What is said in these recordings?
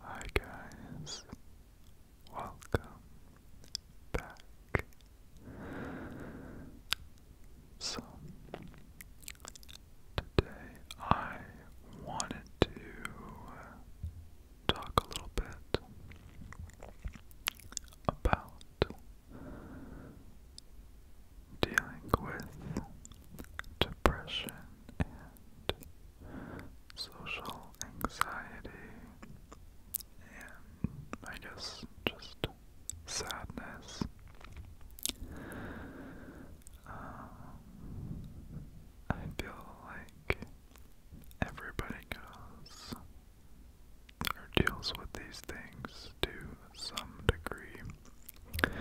Hi guys, welcome back. So, today I wanted to uh, talk a little bit about dealing with depression and social anxiety and I guess just sadness. Um, I feel like everybody goes or deals with these things to some degree.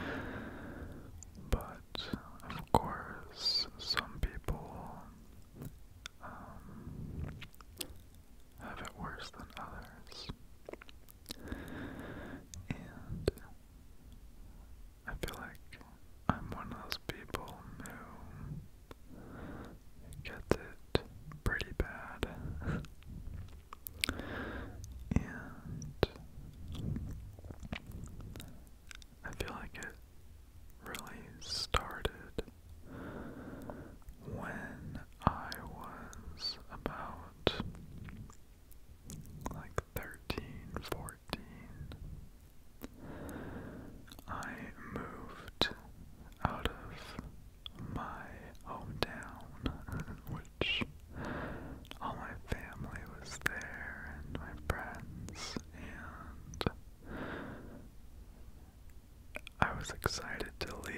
But of course, some people um, have it worse than others. And I feel like I'm one of those people who gets it pretty bad. And I feel like it really started when I was about like 13, 14. I moved out of my hometown, which all my family was there and my friends, and I was excited to leave.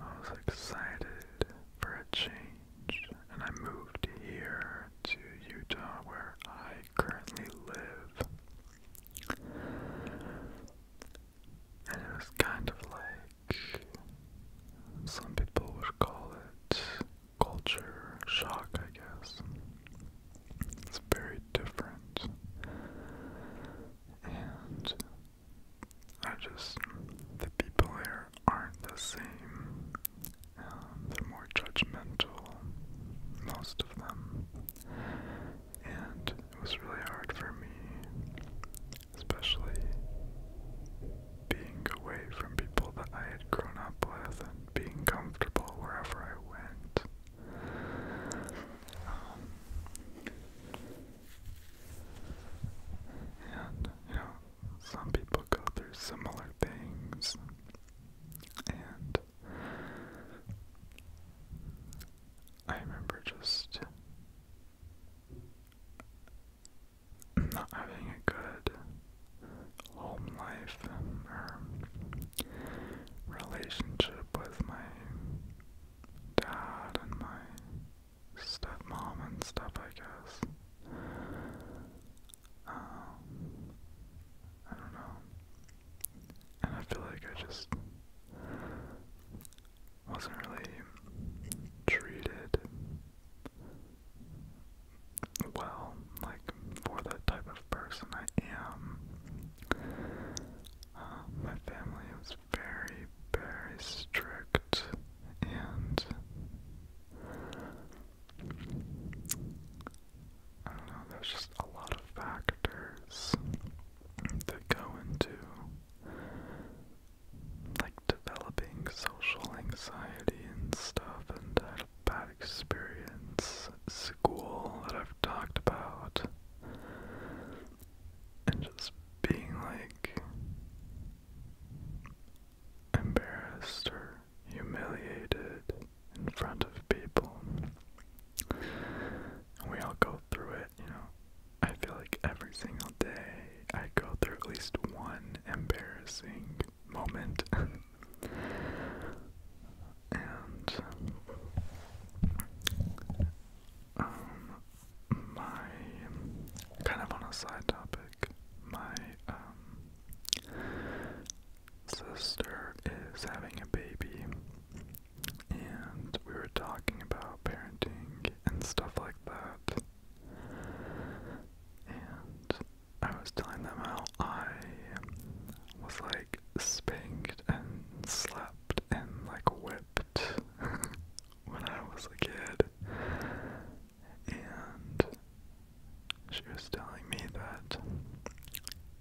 I was excited for a change, and I moved here to Utah where I currently live and it was kind of like some people would call it culture shock, I guess. It's very different, and I just the people here aren't the same. Um, they're more judgmental, most of them, and it was really hard for me especially being away from people that I had grown up with and being comfortable wherever I went. Um, and, you know, some people go through similar things, and I remember just not having a good home life or relationship with my dad and my stepmom and stuff, I guess. Um, I don't know. And I feel like I just wasn't really treated well, like for that type of person I am. Um, my family was very, very strict and I don't know, there's just a lot of factors that go into like developing social anxiety and stuff, and I had a bad experience at school that I've talked about, and just being like embarrassed or humiliated in front of people. And we all go through it, you know. I feel like every single day I go through at least one embarrassing moment. and um my kind of on a side topic, my um sister is having a baby and we were talking about parenting and stuff like that. And I was telling them how I was like spanked and slapped and like whipped when I was a kid. And she was telling me that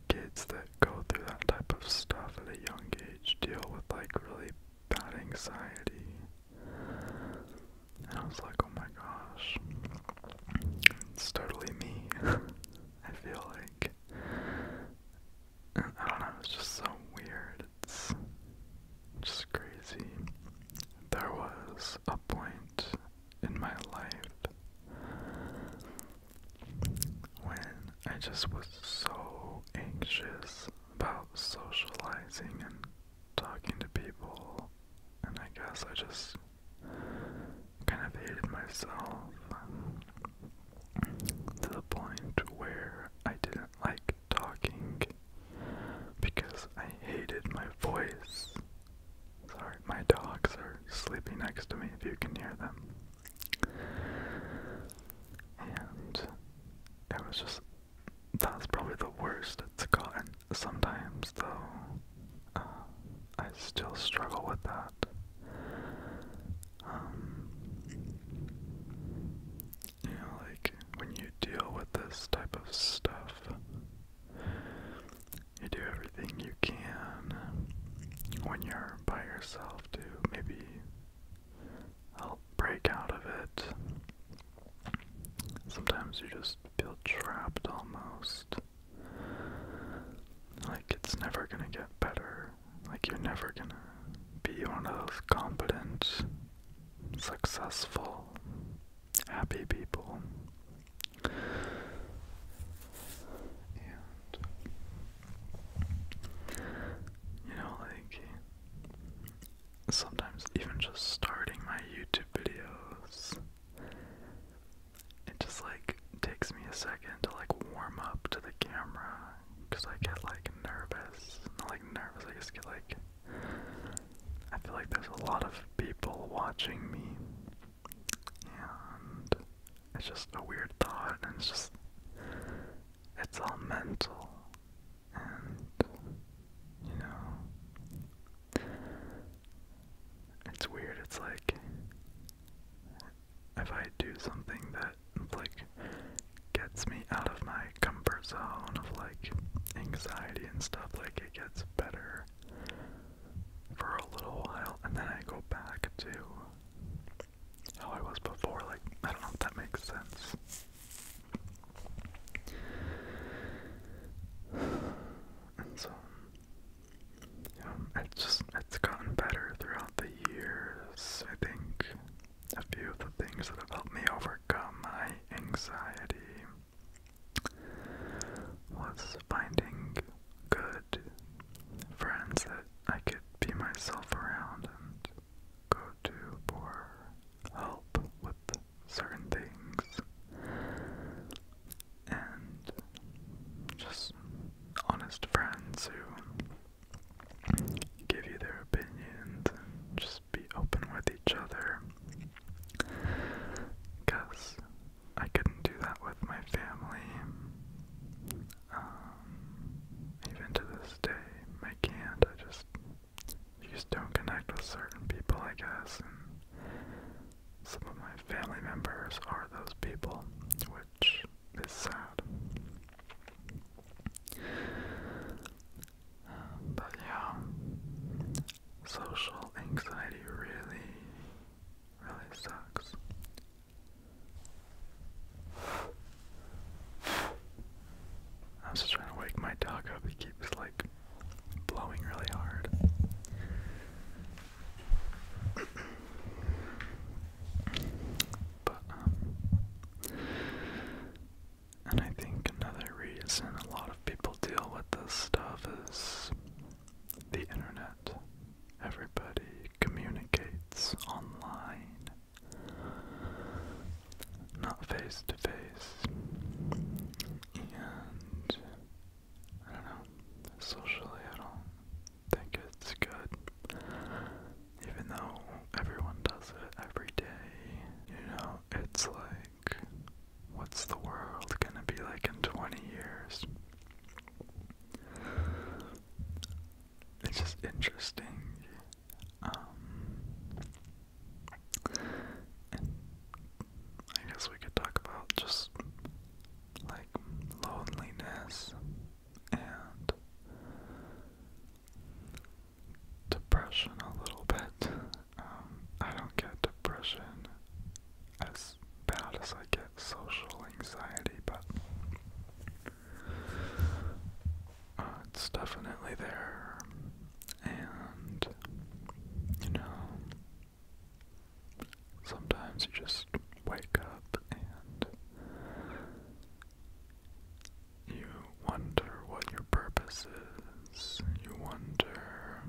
kids that go through that type of stuff at a young age deal with like really that anxiety. And I was like, oh my gosh, it's totally me. I feel like. I don't know, it's just so weird. It's just crazy. There was a point in my life when I just was so anxious about socializing and talking to people, and I guess I just kind of hated myself to the point where I didn't like talking because I hated my voice. Sorry, my dogs are sleeping next to me if you can hear them. And it was just that's probably the worst it's gotten. Sometimes though, uh, I still struggle with that. Um, you know, like when you deal with this type of stuff, you do everything you can when you're by yourself to maybe help break out of it. Sometimes you just feel trapped almost. Like it's never gonna get better. Like you're never gonna be one of those competent, successful, happy people. you know, like sometimes even just starting my YouTube videos, it just like takes me a second to like warm up to the camera because I get like nervous. Not like nervous, I just get like. I feel like there's a lot of people watching me, and it's just a weird thought, and it's just. It's all mental and you know it's weird it's like if I do something that like gets me out of my comfort zone of like anxiety and stuff like it gets better for a little while and then I go back to how I was before. Like, I don't know if that makes sense. And so, yeah, um, it's just, it's gotten better throughout the years. I think a few of the things that have helped me overcome my anxiety was finding good friends that I could be myself around and go to for help with certain things and just honest friends who give you their opinions and just be open with each other because I couldn't do that with my family um, even to this day, I can't. I just, just don't connect with certain people, I guess. some of my family members are those people, which is sad. Um, but yeah, social anxiety really, really sucks. I'm just trying to wake my dog up. He keeps like blowing really hard. But um, and I think another reason a lot of people deal with this stuff is the internet. Everybody communicates online not face to face, and I don't know, socially I don't think it's good, even though everyone does it every day, you know, it's like, what's the world gonna be like in 20 years? It's just interesting um, I guess we could talk about just like loneliness and depression a little bit. Um, I don't get depression as bad as I get social anxiety, but uh, it's definitely there. And, you know, sometimes you just wake up and you wonder what your purpose is. You wonder,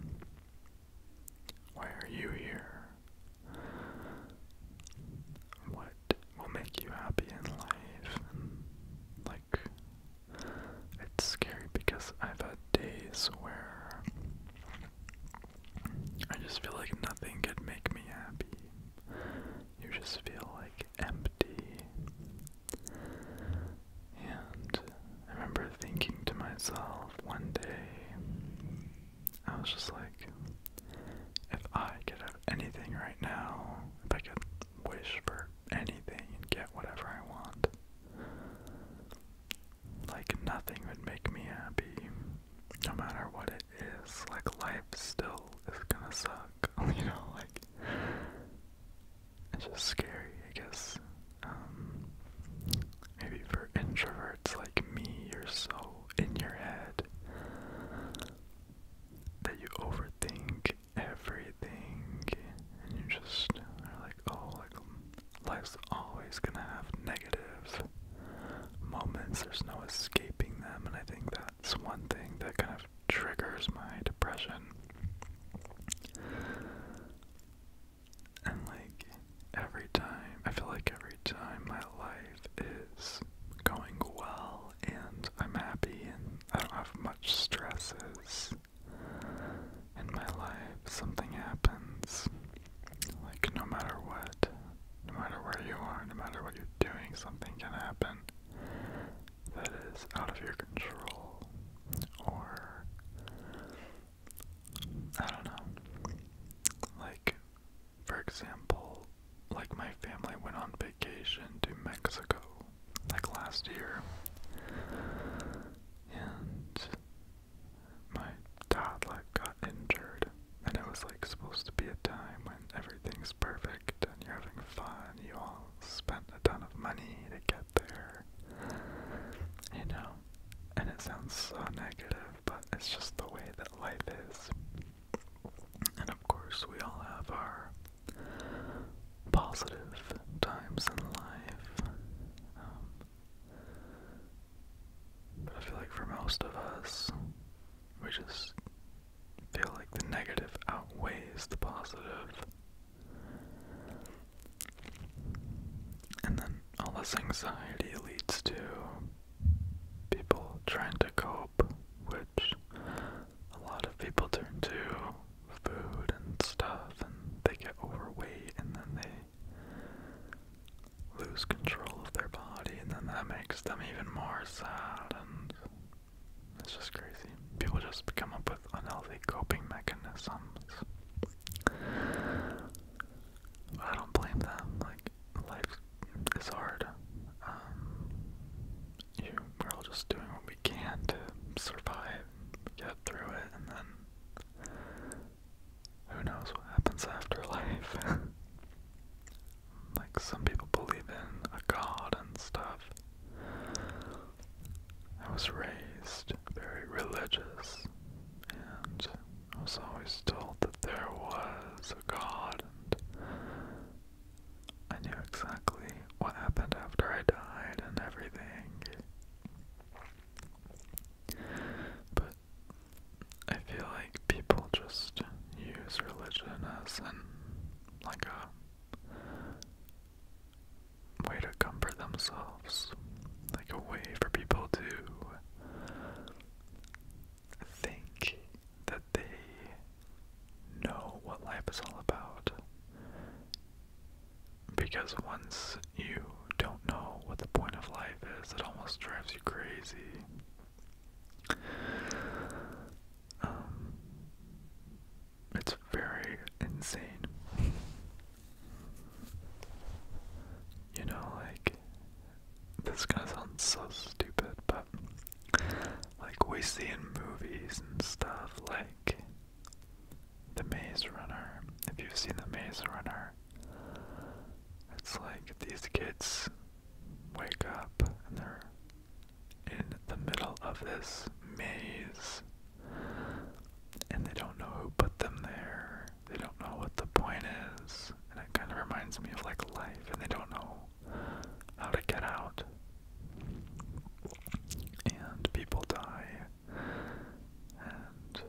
why are you here? What will make you happy in life like it's scary because I've had days where I just feel like nothing could make me happy. You just feel like empty. And I remember thinking to myself one day, I was just like, if I could have anything right now, if I could wish for anything and get whatever I want. Like nothing would make me happy, no matter what it is. Like life still is gonna suck, you know. Like it's just scary, I guess. Um, maybe for introverts like me, you're so in your head that you overthink everything and you just are like, oh, like life's always gonna have negative moments. There's no escaping them, and I think that's one thing that kind of triggers my depression. And like every time, I feel like every time my life is going well and I'm happy and I don't have much stresses in my life. Something happens. Like no matter what, no matter where you are, no matter what you're doing, something can happen that is out of your control or I don't know. Like for example, like my family went on vacation to Mexico like last year. And my dad like got injured and it was like supposed to be a time when everything's perfect and you're having fun. You all spent a ton of money to get there. You know? And it sounds so negative, but it's just the way that life is. And of course, we all have our positive times in life. Um, but I feel like for most of us, we just feel like the negative outweighs the And then all this anxiety leads to people trying to cope which a lot of people turn to food and stuff, and they get overweight, and then they lose control of their body, and then that makes them even more sad, and it's just crazy. People just come up with unhealthy coping mechanisms. I don't blame them. Like, life is hard. Um, we're all just doing what we can to survive, get through it, and then who knows what happens after life. like some people believe in a god and stuff. I was raised very religious, and I was always told that there was a god I knew exactly what happened after I died and everything. But I feel like people just use religion as like a way to comfort themselves. Like a way for people to think that they know what life is all about. Because once you don't know what the point of life is, it almost drives you crazy. Um, it's very insane. You know, like, this guy sounds so stupid, but like we see in movies and stuff, like The Maze Runner. If you've seen The Maze Runner, it's like these kids wake up and they're in the middle of this maze and they don't know who put them there. They don't know what the point is. And it kind of reminds me of like life and they don't know how to get out. And people die, and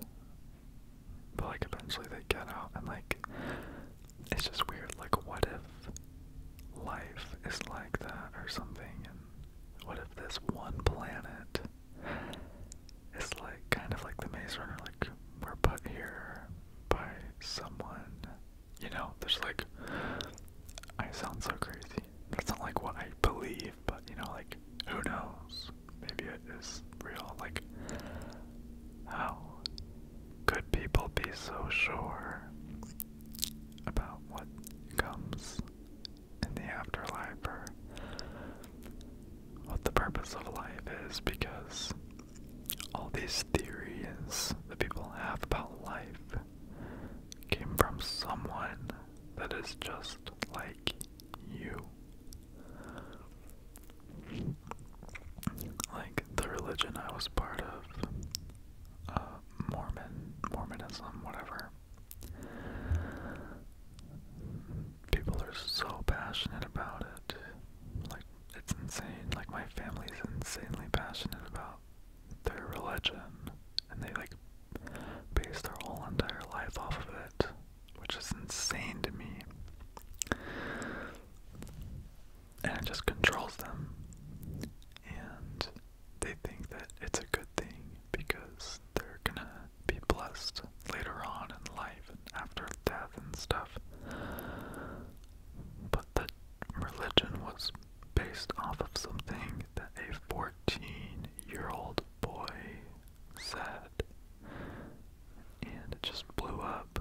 but like eventually they get out, and like it's just weird. Like, what if life is like that or something? And what if this one planet is like kind of like the Maze Runner, like we're put here by someone you know, there's like, I sound so crazy. That's not like what I believe, but you know, like, who knows? Maybe it is real. Like, how could people be so sure about what comes in the afterlife or what the purpose of life is? Because all these theories that people have about life came from someone that is just like you. Like the religion I was part of, uh, Mormon, Mormonism, whatever. People are so passionate about it. Like it's insane. Like my family's insanely passionate about their religion, and they like base their whole entire life off of it, which is insane to me. And it just controls them, and they think that it's a good thing because they're gonna be blessed later on in life and after death and stuff. But the religion was based off of something that a 14 year old boy said, and it just blew up.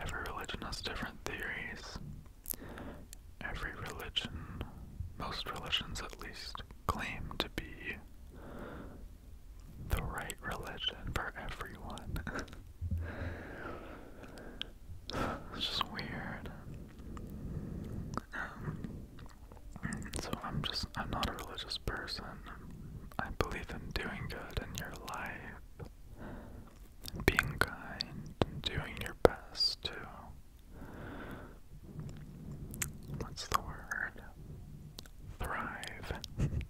Every religion has different theories. Every religion, most religions at least, claim to be the right religion for everyone. it's just weird. Um, so I'm just, I'm not a religious person. I believe in doing good in your life, being kind, doing your best to what's the word? Thrive in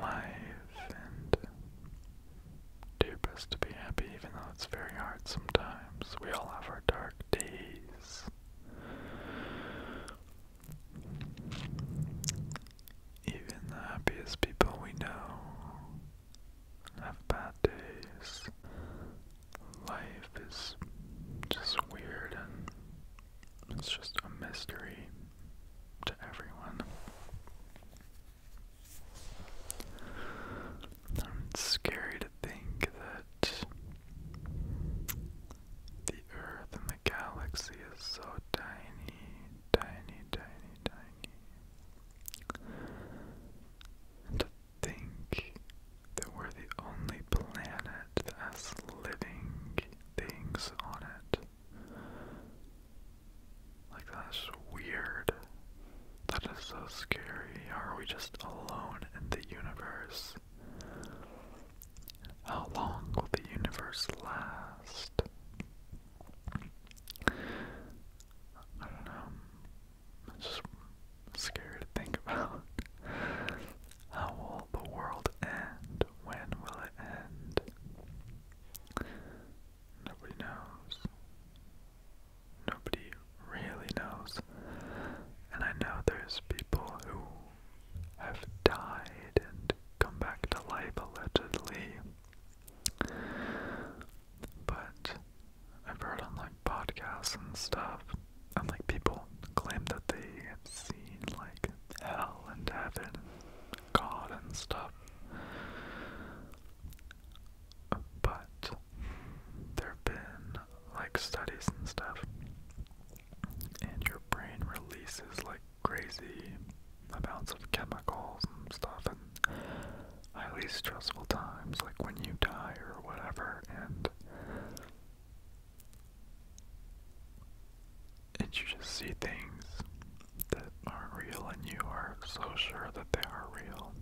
life and do your best to be happy, even though it's very hard sometimes. We all have our dark days. Even the happiest people we know have bad days life is just weird and it's just a mystery to everyone. it's scary to think that the Earth and the galaxy is so tiny, tiny, tiny, tiny think that we're the only planet that has living things on it. Like, that's weird. That is so scary. Are we just alone in the universe? How long will the universe last? I don't know. It's scary to think about. How will the world end? When will it end? Nobody knows. Nobody really knows. And I know there's people who have died and come back to life allegedly. But I've heard on like podcasts and stuff, and like people claim that they have seen like hell and heaven God and stuff. But there have been like studies and stuff, and your brain releases like crazy amounts of chemicals and stuff, and at least stressful times, like when you die or whatever, and and you just see things that aren't real, and you are so sure that they are real.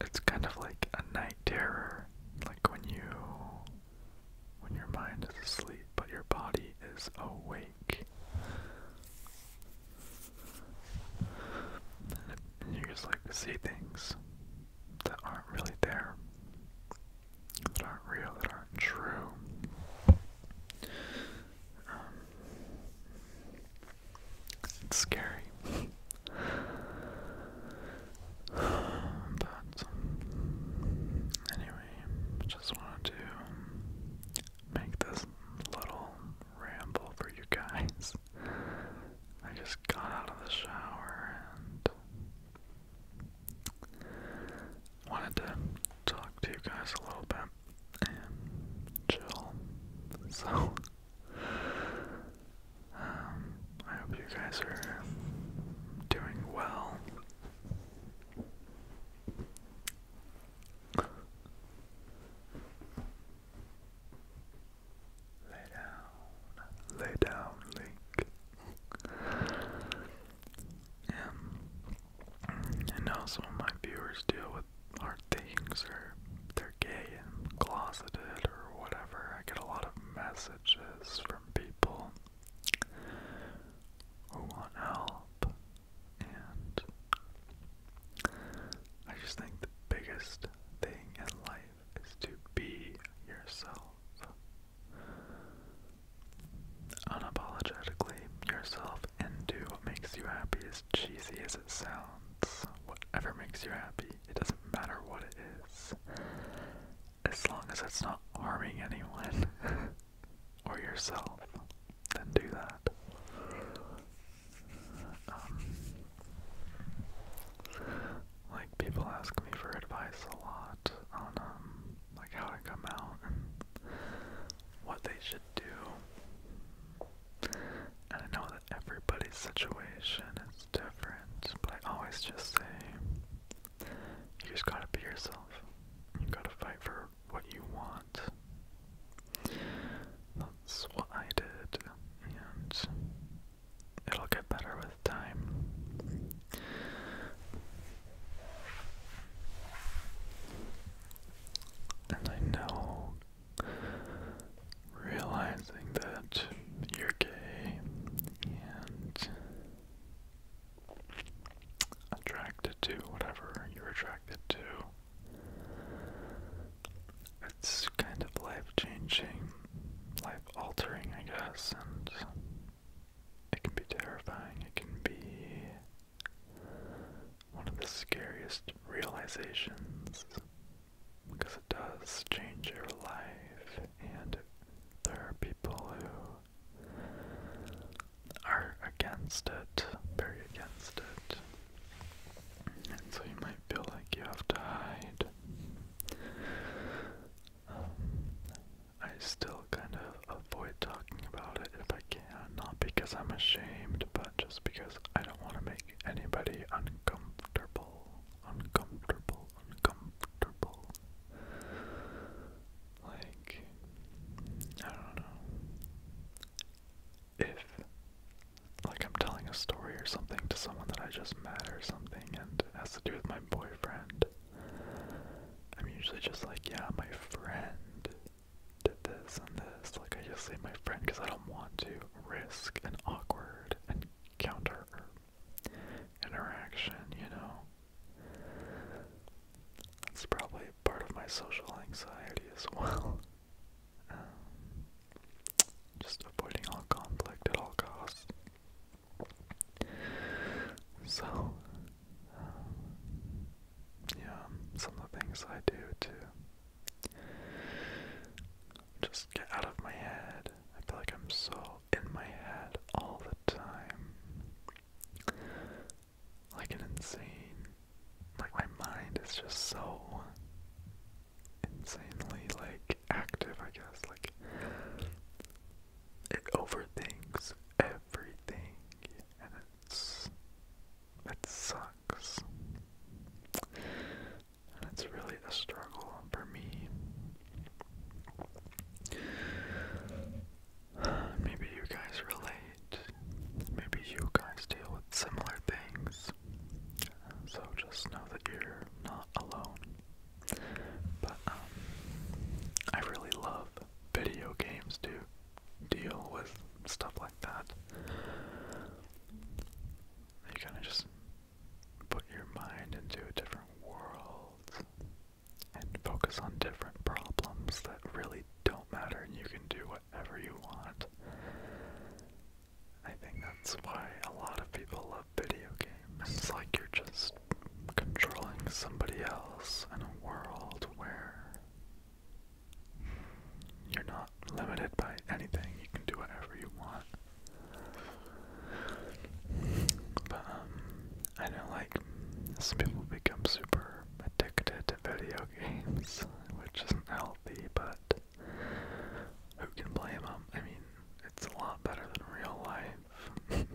It's kind of like a night terror, like when you when your mind is asleep but your body is awake you just like see things that aren't really there, that aren't real, that aren't true. Um, it's scary. but, anyway, just wanted to make this little ramble for you guys. I just got out of the shower and wanted to talk to you guys a little bit and chill. So, um, I hope you guys are doing well. Lay down, lay down, Link. yeah. And now some of my viewers deal with hard things, or they're gay and closeted, or whatever. I get a lot of messages from people who want help, and I just think the biggest thing in life is to be yourself. Unapologetically yourself and do what makes you happy, as cheesy as it sounds. Whatever makes you happy, it doesn't matter what it is. As long as it's not harming anyone or yourself then do that. Um, like people ask me for advice a lot on um, like how to come out and what they should do. And I know that everybody's situation is different, but I always just say, you just gotta be yourself. You gotta fight for what you want that's what I did, and it'll get better with time. And I know realizing that you're gay and attracted to whatever you're attracted to it's kind of life changing, life altering, I guess, and it can be terrifying. It can be one of the scariest realizations because it does change your life, and there are people who are against it, very against it so you might feel like you have to hide. Um, I still kind of avoid talking about it if I can, not because I'm ashamed, but just because I don't want to make anybody uncomfortable. Uncomfortable, uncomfortable. Like, I don't know if like I'm telling a story or something to someone that I just met or something and it has to do with my boyfriend, I'm usually just like, yeah, my friend did this and this. Like I just say my friend because I don't want to risk an awkward encounter interaction, you know. That's probably part of my social anxiety as well. Um, just avoiding all conflict at all costs. So, um, yeah, some of the things I do to just get out of my head. I feel like I'm so in my head all the time. Like an insane like my mind is just so insanely like active I guess like it overthinks everything and it's it sucks and it's really a struggle for me maybe you guys relate Maybe you guys deal with similar things. So just know that you're not alone. But um, I really love video games Do deal with stuff like that. You kind of just put your mind into a different world and focus on different problems that really don't matter you can do whatever you want. I think that's why a lot of people love video games. It's like you're just controlling somebody else in a world where you're not limited by anything. You can do whatever you want. But um, I know like some people become super addicted to video games, which isn't how but who can blame them? I mean, it's a lot better than real life.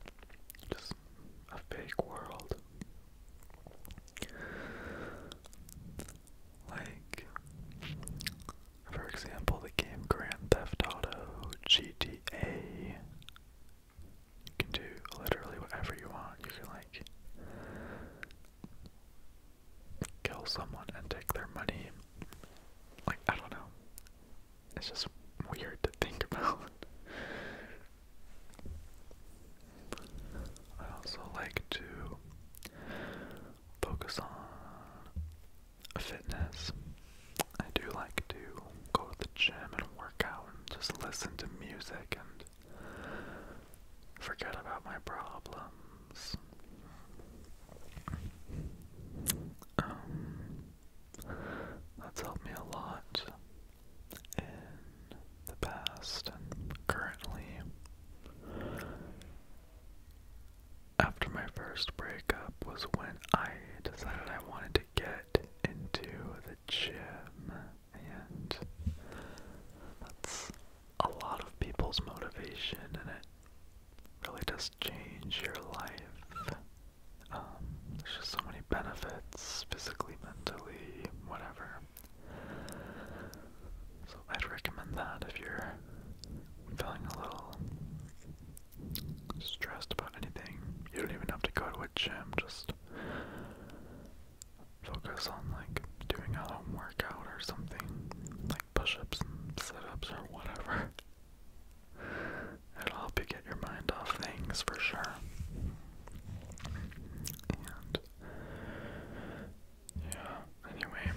Just a fake world. Like, for example, the game Grand Theft Auto GTA. You can do literally whatever you want. You can, like, kill someone and take their money. Like, I don't know. It's just weird to think about. I also like to focus on fitness. I do like to go to the gym and work out and just listen to music and Forget about my problems. Um, that's helped me a lot in the past and currently. After my first breakup was when I decided I wanted to get into the gym and that's a lot of people's motivation, and it really does change your life. Um, there's just so many benefits, physically, mentally, whatever. So I'd recommend that if you're feeling a little stressed about anything. You don't even have to go to a gym, just focus on like doing a home workout or something, like push ups sit ups or whatever. It'll help you get your mind off things for sure. yeah, anyway,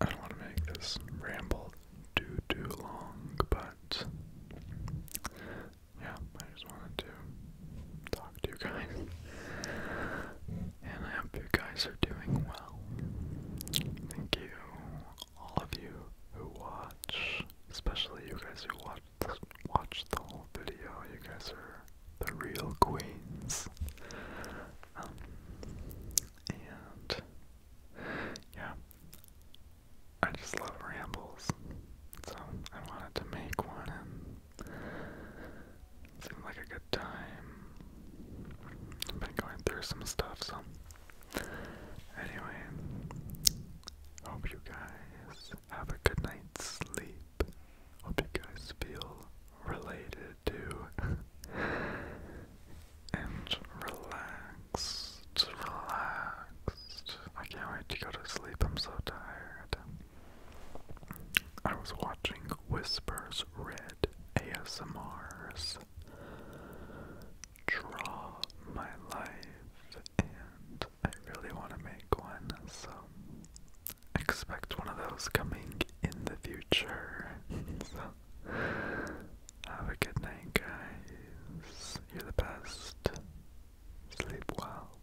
I don't want to make this ramble too too long, but yeah, I just wanted to to you guys. And I hope you guys are doing well. Thank you, all of you who watch, especially you guys who watch the, the whole video. You guys are the real queens. Um, and yeah, I just love rambles, so I wanted to make one Seemed like a good time. been going through some stuff, so. Anyway, hope you guys have a good night's sleep. Hope you guys feel related to and relaxed, relaxed. I can't wait to go to sleep. I'm so tired. I was watching Whispers Red ASMRs Draw My Life, and I really want to make one, so expect one of those coming in the future. so, have a good night, guys. You're the best. Sleep well.